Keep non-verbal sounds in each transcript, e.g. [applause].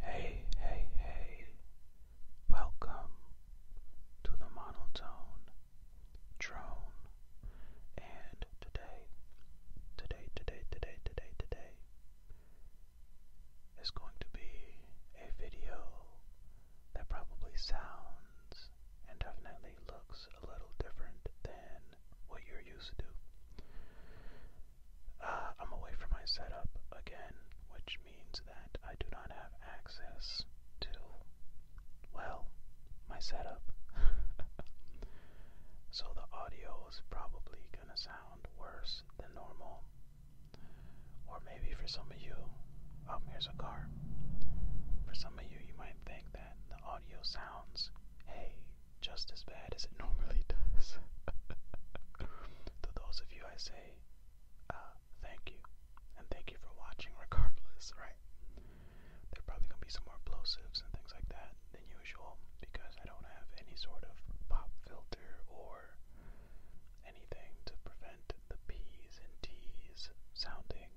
Hey, hey, hey, welcome to the Monotone Drone. And today, today, today, today, today, today is going to be a video that probably sounds and definitely looks a little different than what you're used to. Uh, I'm away from my setup again, which means that I do not have access to, well, my setup. [laughs] so the audio is probably gonna sound worse than normal. Or maybe for some of you, um, here's a car. For some of you, you might think that the audio sounds, hey, just as bad as it normally does. [laughs] to those of you, I say, uh, thank you. And thank you for watching regardless, right? There probably going to be some more plosives and things like that than usual because I don't have any sort of pop filter or anything to prevent the P's and T's sounding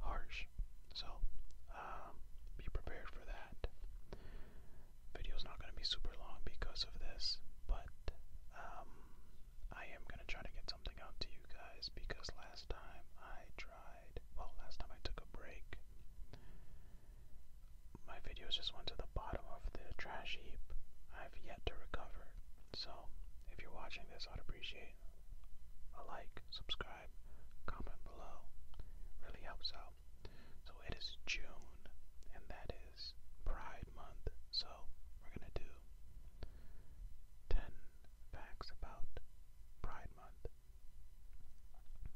harsh. So, um, be prepared for that. Video is not going to be super long because of this, but um, I am going to try to get something out to you guys because last time I tried, well, last time I took a break, my videos just went to the bottom of the trash heap. I've yet to recover. So, if you're watching this, I'd appreciate a like, subscribe, comment below. Really helps out well. So it is June, and that is Pride Month. So we're going to do 10 facts about Pride Month.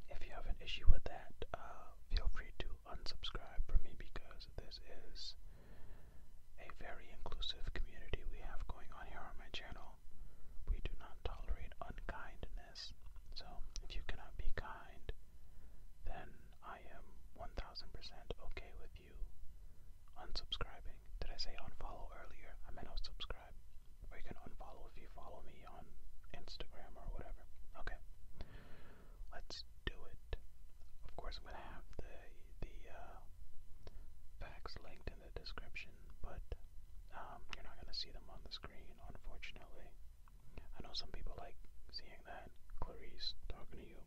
If you have an issue with that, uh, feel free to unsubscribe from me because this is a very inclusive community we have going on here on my channel. We do not tolerate unkindness. So if you cannot be kind, then I am 1000% okay with you unsubscribing. Did I say unfollow earlier? I meant unsubscribe. Or you can unfollow if you follow me on Instagram or whatever. Okay. Let's do it. Of course, I'm going to have the, the uh, facts linked in the description, but um, you're not going to see them on the screen, unfortunately. I know some people like seeing that, Clarice talking to you,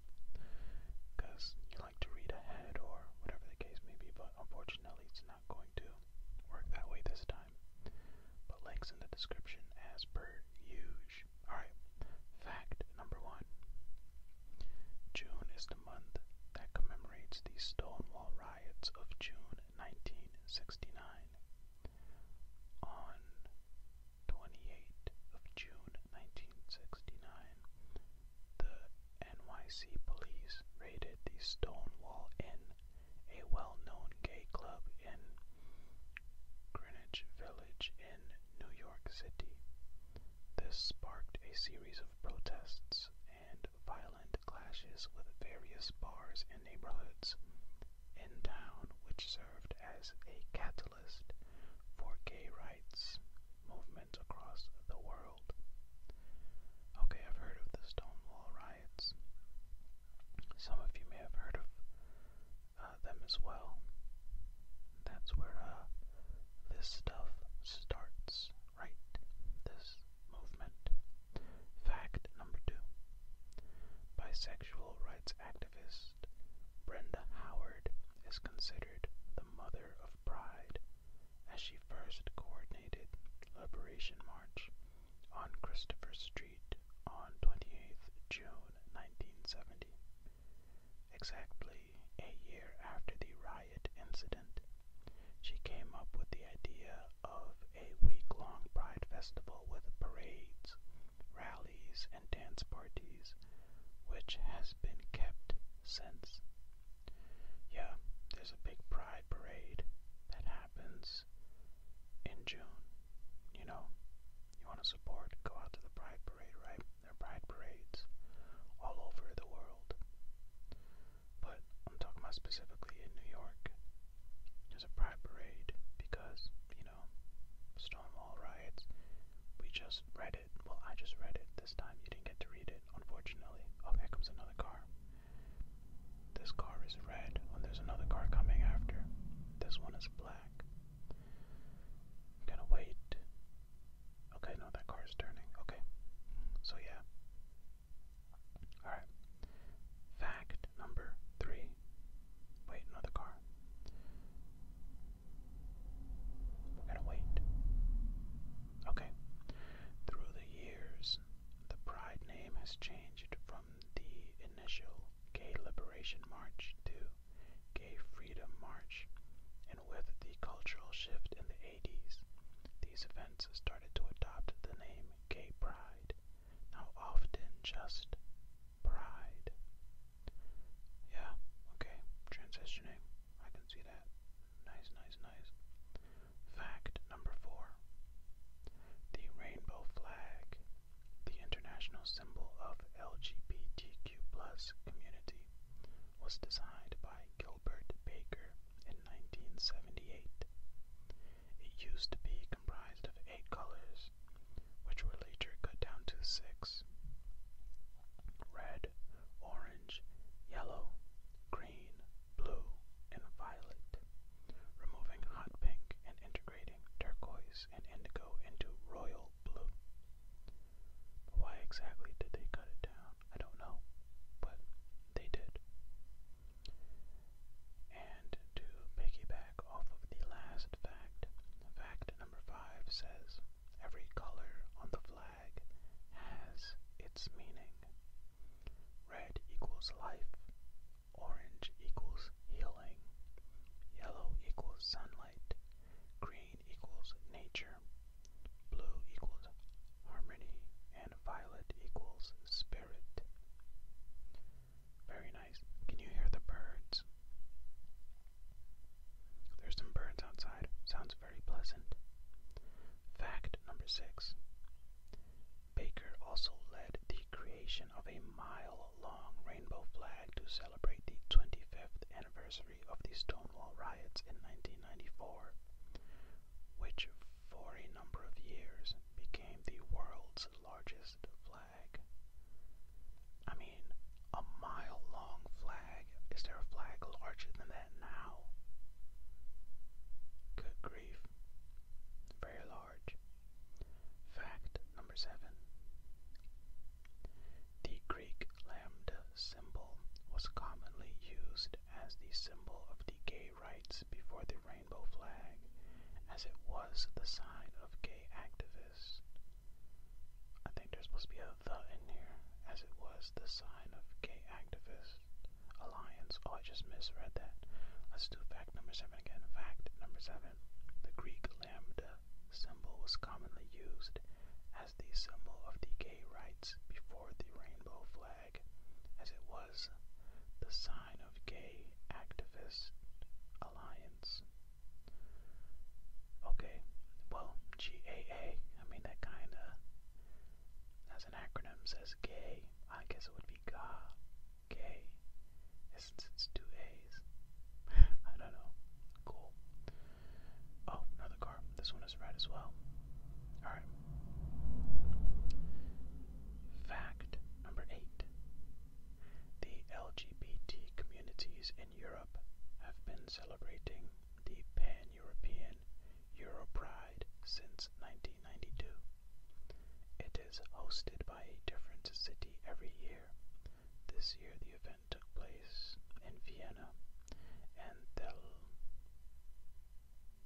because you like to read ahead or whatever the case may be, but unfortunately it's not going to work that way this time. But links in the description as per huge. Alright, fact number one. June is the month that commemorates the Stonewall riots of June 1969. On 28 June 1969, the NYC police raided the Stonewall Inn, a well-known gay club in Greenwich Village in New York City. This sparked a series of protests and violent clashes with various bars and neighborhoods in town which served as a catalyst for gay rights movements across the world. Okay, I've heard of the Stonewall riots. Some of you may have heard of uh, them as well. That's where uh, this stuff starts, right? This movement. Fact number two bisexual rights activist Brenda Howard is considered the mother of pride as she first coordinated Liberation March on Christopher Street on 28th June 1970. Exactly a year after the riot incident, she came up with the idea of a week-long pride festival with parades, rallies, and dance parties, which has been kept since. Yeah, there's a big pride parade that happens in June. You know, you want to support, go out to the pride parade, right? There are pride parades all over the world but I'm talking about specifically in New York. There's a pride parade because, you know, Stonewall riots. We just read it. Well, I just read it. This time you didn't get to read it, unfortunately. Oh, comes another car. This car is red, and there's another car coming after. This one is black. gonna wait. Okay, no, that car is turning. Okay. So, yeah. Alright. Fact number three. Wait, another car. We're gonna wait. Okay. Through the years, the Pride name has changed from the initial Gay Liberation March to Gay Freedom March, and with the cultural shift in the 80s, these events started to adopt the name gay pride, now often just pride. Yeah, okay, transitioning. I can see that. Nice, nice, nice. Fact number four the rainbow flag, the international symbol of LGBTQ plus community, was designed by Gilbert Baker in 1978. It used to be comprised of eight colors, which were later cut down to six red, orange, yellow, green, blue, and violet, removing hot pink and integrating turquoise and indigo into royal blue. Why exactly did they cut it down? I don't know, but they did. And to piggyback off of the last fact, fact number five says every color on the flag has its meaning. Red equals life, orange equals healing, yellow equals sunlight, green equals nature, blue equals harmony, and violet equals spirit. Very nice. Can you hear the birds? There's some birds outside. Sounds very pleasant. Fact number six Baker also led the creation of a mile long rainbow flag to celebrate the 25th anniversary of the Stonewall riots in 1994 which for a number of years became the world's largest flag. I mean, a mile long flag. Is there a flag larger than that now? Good grief. Very large. Fact number seven. The Greek lambda symbol was commonly used as the symbol of the gay rights before the rainbow flag, as it was the sign of gay activists. I think there's supposed to be a the in here, as it was the sign of gay activists. Alliance. Oh, I just misread that. Let's do fact number seven again. Fact number seven. The Greek lambda symbol was commonly used as the symbol of gay rights before the rainbow flag as it was the sign of gay activist alliance. Okay, well, GAA, I mean, that kind of, as an acronym, says gay. I guess it would be G A A. since it's two A's. [laughs] I don't know. Cool. Oh, another car. This one one is as well. Alright. Fact number eight The LGBT communities in Europe have been celebrating the Pan European Europride since 1992. It is hosted by a different city every year. This year the event took place in Vienna and Thel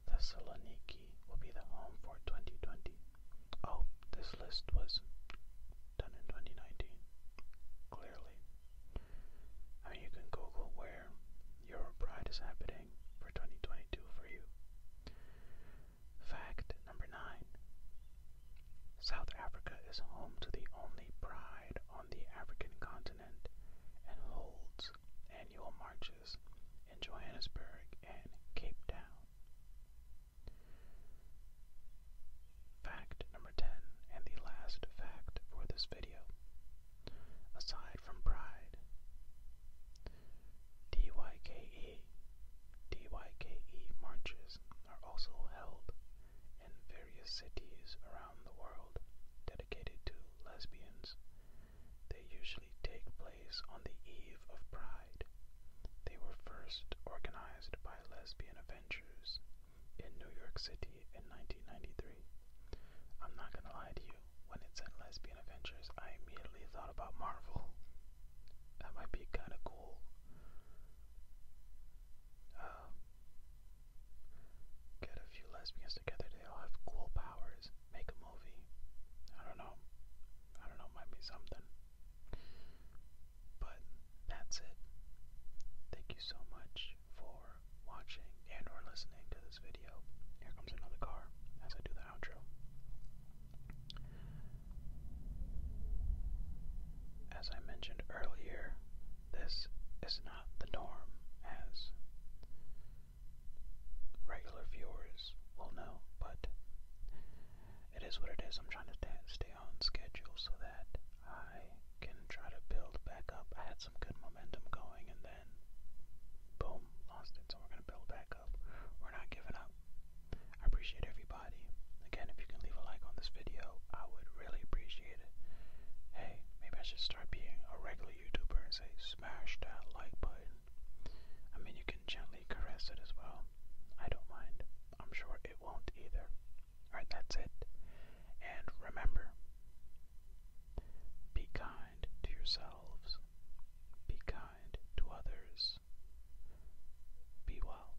Thessaloniki will be the home for 2020. Oh, this list was done in 2019, clearly. I you can Google where your pride is happening for 2022 for you. Fact number nine South Africa is home to the only pride on the African continent and holds annual marches in Johannesburg and Cape Town. Fact number 10, and the last fact for this video. Aside from pride, DYKE, DYKE marches are also held in various cities around the world dedicated to lesbians they usually take place on the eve of Pride. They were first organized by lesbian Avengers in New York City in 1993. I'm not gonna lie to you, when it said lesbian Avengers, I immediately thought about Marvel. That might be kinda cool. Uh, Get a few lesbians together, they all have cool powers. Make a movie. I don't know. I don't know, might be something. But that's it. Thank you so much for watching and or listening to this video. Here comes another car as I do the outro. As I mentioned earlier, this is not the norm as regular viewers will know, but it is what it is. I'm trying to stay on schedule so that I can try to build back up. I had some good momentum going and then boom, lost it. So we're going to build back up. We're not giving up. I appreciate everybody. Again, if you can leave a like on this video, I would really appreciate it. Hey, maybe I should start start being a regular YouTuber and say smash that like button. I mean, you can gently caress it as well. I don't mind. I'm sure it won't either. Alright, that's it. And remember, be kind to yourselves, be kind to others, be well.